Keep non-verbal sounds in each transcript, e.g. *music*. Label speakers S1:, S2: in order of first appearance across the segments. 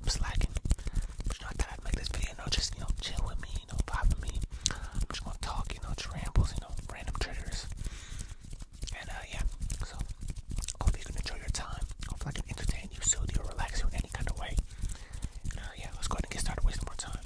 S1: I'm slacking. But you know, I thought I'd this video, you just, you know, chill with me, you know, with me. I'm just gonna talk, you know, rambles, you know, random triggers. And, uh, yeah. So, hopefully you can enjoy your time. Hopefully I can entertain you, soothe you, relax you in any kind of way. And, uh, yeah, let's go ahead and get started wasting more time.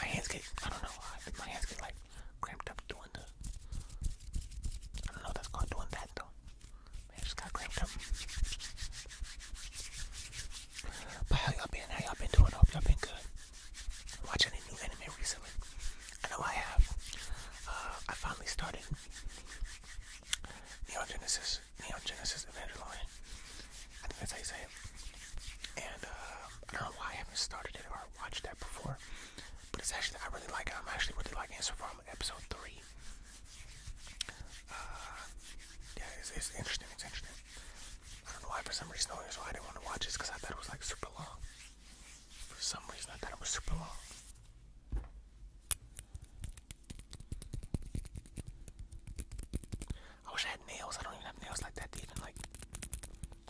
S1: My hands get, I don't know, my hands get, like, cramped up doing the, I know if that's called doing that, though. Man, just gotta crank But how y'all been? How y'all been doing? Hope y'all been good. Watching any new anime recently? I know I have. Uh, I finally started Neon Genesis, Neon Genesis Evangelion. I think that's how you say it. And uh, I don't know why I haven't started it or watched that before, but it's actually I really like it. I'm actually really liking it so far episode three. Uh, yeah, it's, interesting. It's interesting. I don't know why for some reason I didn't want to watch this because I thought it was like super long. For some reason I thought it was super long. I wish I had nails. I don't even have nails like that to like.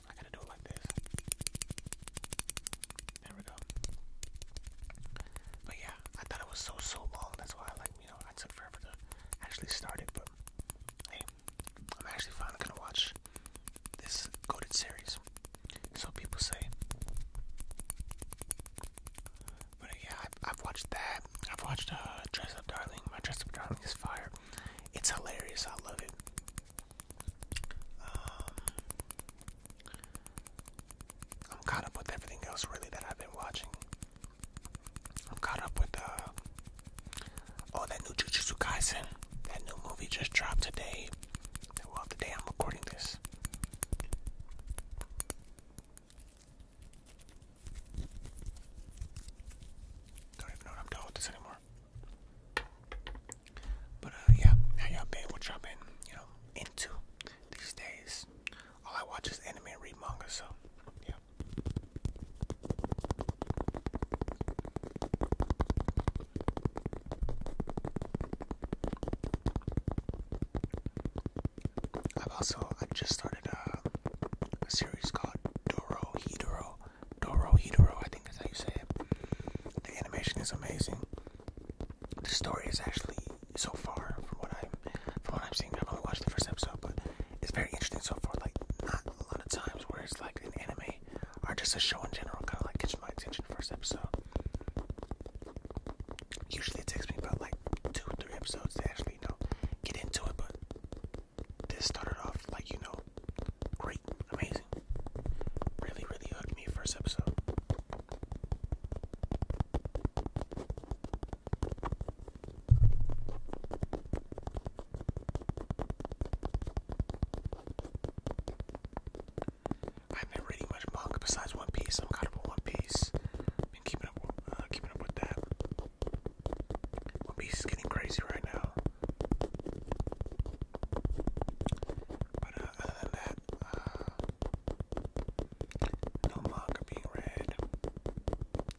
S1: I gotta do it like this. There we go. But yeah, I thought it was so so long. That's why I like you know I took forever to actually start it. But hey, I'm actually finally gonna watch this coded series. So people say. But yeah, I, have watched that. I've watched uh, Dress Up Darling. My Dress Up Darling is fire. It's hilarious. I love it. Um, I'm caught up with everything else really that I've been watching. I'm caught up with uh that new Jujutsu Kaisen. That new movie just dropped today. Well, the I'm recording this. Don't even know what I'm doing with this anymore. But uh, yeah, how y'all been? What y'all been, you know, into these days? All I watch is anime and read manga, so yeah. I've also I just started uh, a, series called Doro Hidoro Dorohedoro, I think that's how you say it. The animation is amazing. The story is actually so far from what I'm from what I'm seeing. I've only watched the first episode, but it's very interesting so far. Like not a lot of times where it's like an anime or just a show in general kind of like catches my attention first episode. Usually it takes me about like two, three episodes to actually know get into it, but this started off like you know Great. Amazing. Really, really hooked me first episode. I've been reading much manga besides One Piece. I'm caught up on One Piece. Been keeping up, uh, keeping up with that. One Piece is getting crazy right now. But uh, other than that, uh, no manga being read.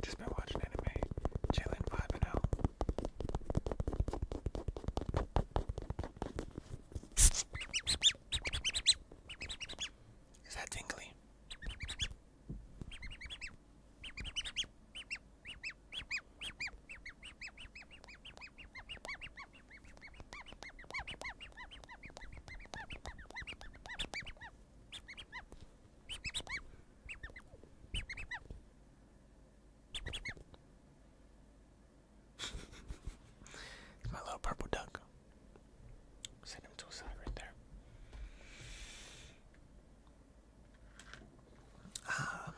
S1: Just been watching anime, chilling, vibing out. Is that tingly? it's my little purple duck. Send him to a side right there. Uh,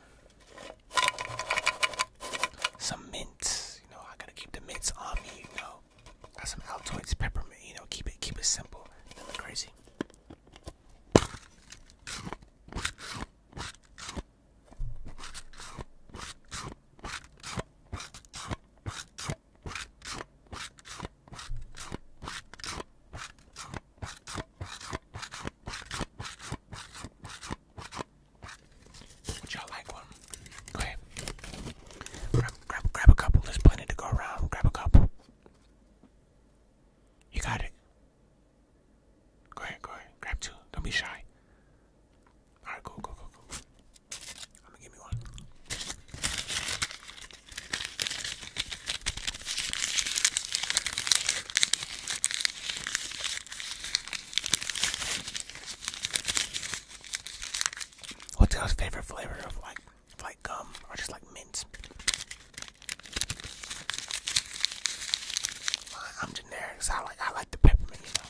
S1: some mints, you know. I gotta keep the mints on me, you know. Got some Altoids peppermint, you know. Keep it, keep it simple. Nothing crazy. Would y'all like one? Go ahead. Grab, grab, grab a couple. There's plenty to go around. Grab a couple. You got it. Go ahead, go ahead. Grab two. Don't be shy. Alright, go, go, go, go. gonna give me one. What's your favorite flavor of like like gum or just like mint? I'm generic, so I like I like the peppermint, you know.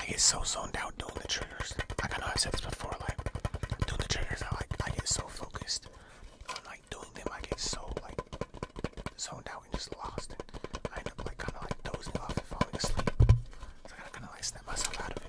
S1: I get so zoned out doing the triggers. Like I know I've said this before, like doing the triggers, I I get so focused on like doing them. I get so like zoned out and just lost, and I end up like kind of like dozing off and falling asleep. So I kind of like snap myself out of it.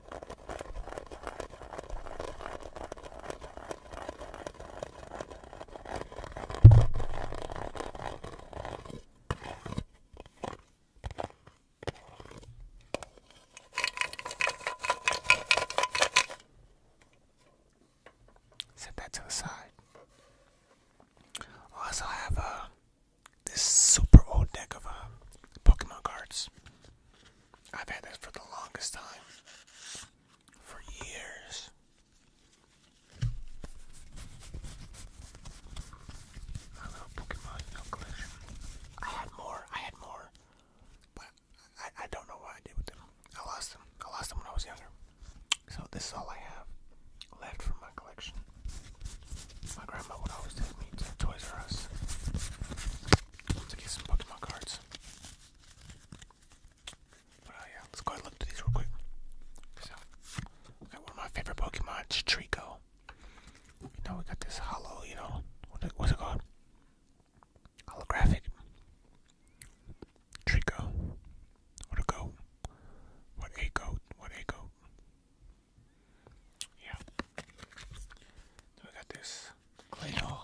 S1: Set that to the side. Also, have uh, this super old deck of uh, Pokemon cards. I've had this for the longest time. For years. My little Pokemon no collection. I had more, I had more. But I, I don't know what I did with them. I lost them. I lost them when I was younger. So this is all I have left from my collection. My grandma would always take me to Toys R Let's get some Pokemon cards. But uh, yeah, let's go ahead and look at these real quick. So, one of my favorite Pokemon, Chitrico. You know, we got this hollow, you know, what's it called? Holographic. Trico. What a goat. What a goat. What a goat. Yeah. we got this Claydol.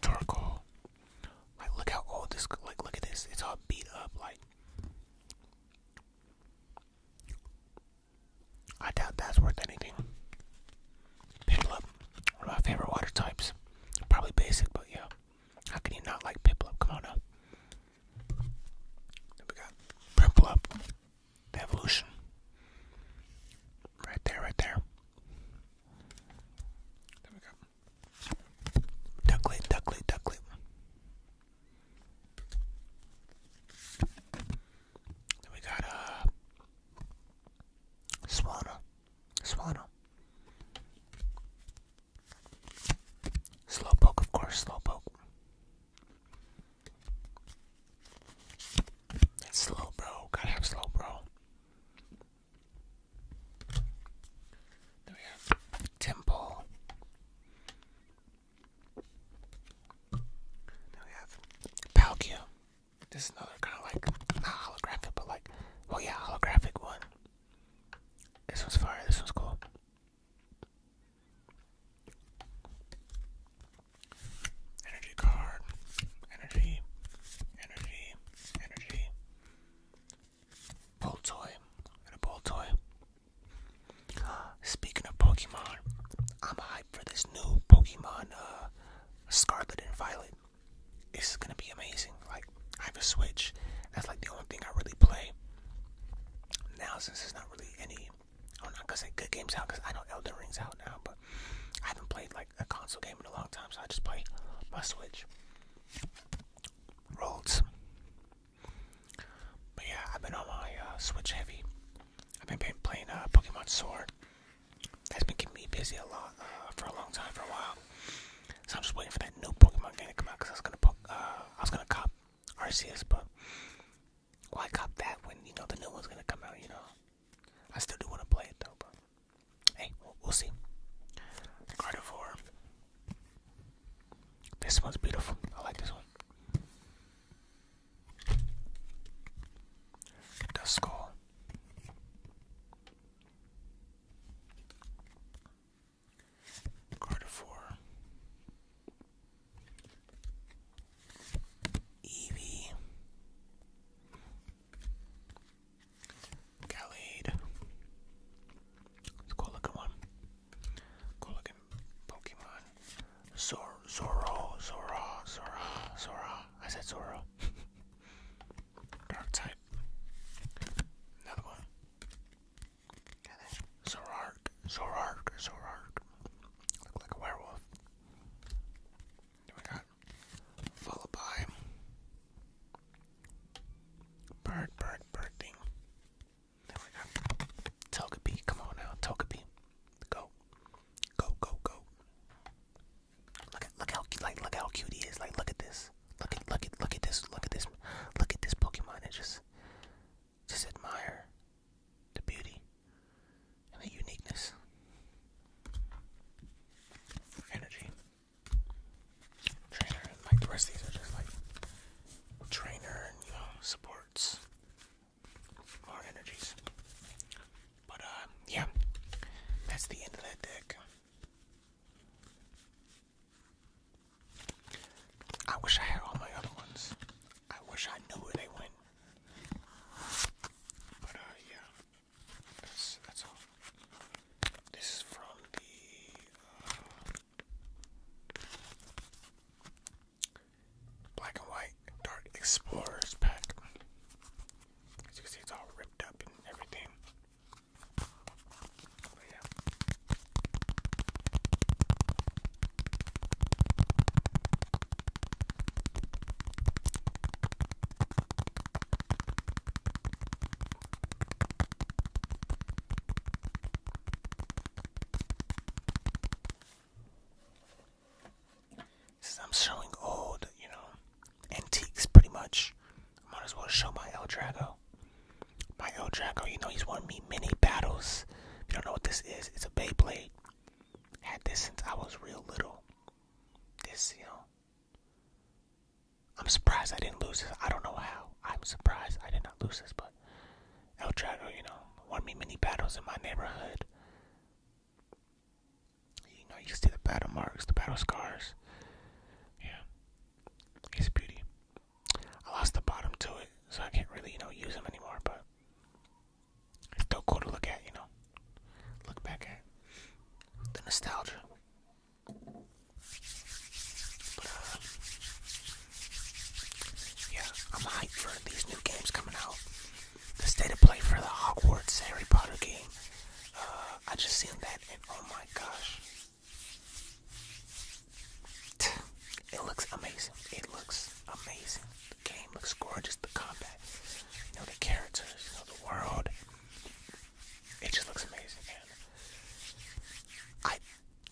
S1: Charcoal. Like look how old this like look at this. It's all beat up like I doubt that's worth anything. Piplup, one of my favorite water types. Probably basic, but yeah. How can you not like Piplup? Come on now. Then we got Purple Up, Evolution. Right there, right there. There we go. Ducklet, ducklet, ducklet. Then we got, uh, Swallow. Swallow. Slowpoke, of course, Slowpoke. slow, bro. Gotta have slow, bro. Then we have Temple. Then we have Palkia. This is another kind of like not holographic, but like, well, oh yeah, holographic one. This one's fire, this one's cool. Energy card. Energy. Energy. Energy. Boltoy. And a Boltoy. Speaking of Pokemon, I'm hyped for this new Pokemon uh, Scarlet and Violet. This is gonna be amazing. Like I have a Switch. That's like the only thing I really play. Now, since there's not really any, I'm not gonna say good games out because I know Elden Ring's out now, but I haven't played like a console game in a long time, so I just play my Switch. Rolls. But yeah, I've been on my uh, Switch heavy. I've been playing uh, Pokemon Sword. That's been keeping me busy a lot uh, for a long time, for a while. So I'm just waiting for that new Pokemon game to come out because I was gonna uh, I was gonna cop Arceus, but why cop that when you know the new one's gonna come out? You know, I still do want to play it though. But hey, we'll, see. Gardevoir. This one's beautiful. I like this one. Duskull. Card of Gallade. cool looking one. Cool looking Pokemon. Zoro, Zora, Zora, Zora. I said Zoro. *laughs* Dark type. Another one. Zorark, Zorark, Zorark. Look like a werewolf. Then we got followed bird, bird, bird thing. Then we got Togepi. Come on now, Togepi. Go, go, go, go. Look at look how like look how cute he is. Like look at this. Look at look at look at this. Look at this. Look at this Pokemon and just just admire the beauty and the uniqueness. Energy. Trainer like the rest these are just like trainer and you know supports more energies. But um, yeah, that's the end of that deck. I wish I had all my other ones. I wish I knew where they went. But uh, yeah, that's that's all. This is from the uh, black and white Dark Explorers pack. As you can see, it's all ripped up and everything. Since I'm showing old, you know, antiques pretty much. Might as well show my El Drago. My El Drago, you know, he's won me many battles. If you don't know what this is, it's a Beyblade. Had this since I was real little. This, you know. I'm surprised I didn't lose this. I don't know how. I'm surprised I did not lose this, but El Drago, you know, won me many battles in my neighborhood. You know, you see the battle marks, the battle scars. Yeah, it's beauty. I lost the bottom to it, so I can't really, you know, use them anymore. But it's still cool to look at, you know. Look back at the nostalgia. But, uh, yeah, I'm hyped for these new games coming out the state of play for the Hogwarts Harry Potter game. Uh, I just seen that and oh my gosh. It looks amazing. It looks amazing. The game looks gorgeous. The combat, you know, the characters, you know, the world. It just looks amazing. And I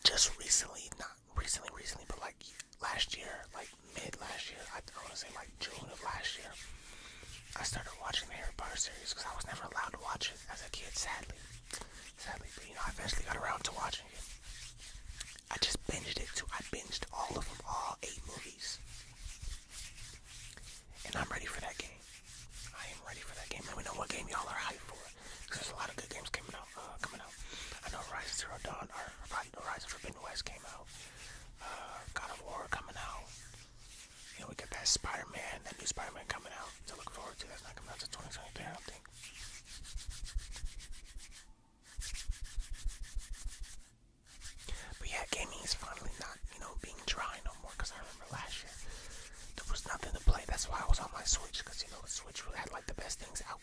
S1: just recently, not recently, recently, but like last year, like mid last year, I, don't want to say like. June of last year, I started watching the Harry Potter series because I was never allowed to watch it as a kid, sadly. Sadly, but you know, I eventually got around to watching it. I just binged it too. I binged all of them, all eight movies. And I'm ready for that game. I am ready for that game. Let me know what game y'all are hyped for. Because there's a lot of good games coming out. Uh, coming out. I know Rise of the Dawn or, or Horizon Forbidden West came out uh, God of War coming out. You know, we got that Spider Man, that new Spider Man coming out to look forward to. That's not coming out to 2023, I don't think. But yeah, gaming is finally not, you know, being dry no more. Cause I remember last year there was nothing to play. That's why I was on my Switch. Cause you know, the Switch had like the best things out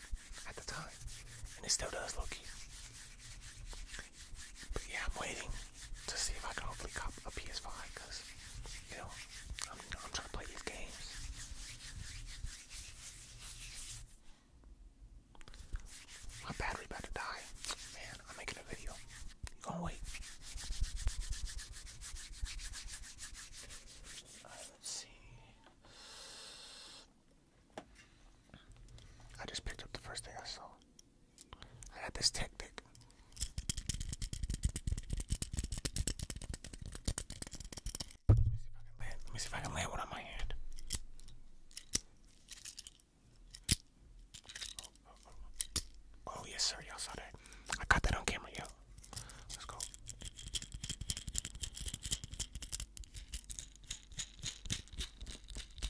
S1: at the time, and it still does, Loki. But yeah, I'm waiting to see if I can hopefully cop a PS5 because, you know, I'm, trying to play these games. My battery about to die. Man, I'm making a video. You gonna wait? let's see. I just picked up the first thing I saw. I got this tactic. Let me see if I can land. Let me see if I can land one on my hand. Oh, oh, oh. oh yes, sir. Y'all saw that. I caught that on camera, yo. Let's go.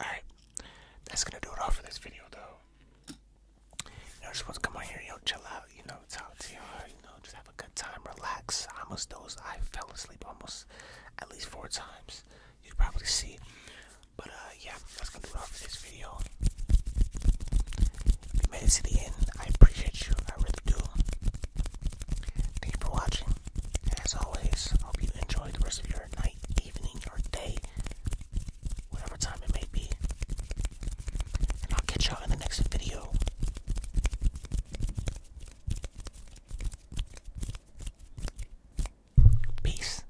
S1: Alright, that's gonna do it all for this video though. You are supposed to come on here, yo, chill out, you know, talk to you, you know, just have a good time, relax. almost dozed, I fell asleep almost at least four times. You probably see but uh, yeah, that's gonna do it for this video. If you made it to the end, I appreciate you. I really do. Thank you for watching. as always, hope you enjoy the rest of your night, evening, or day, whatever time it may be. And I'll catch y'all in the next video. Peace.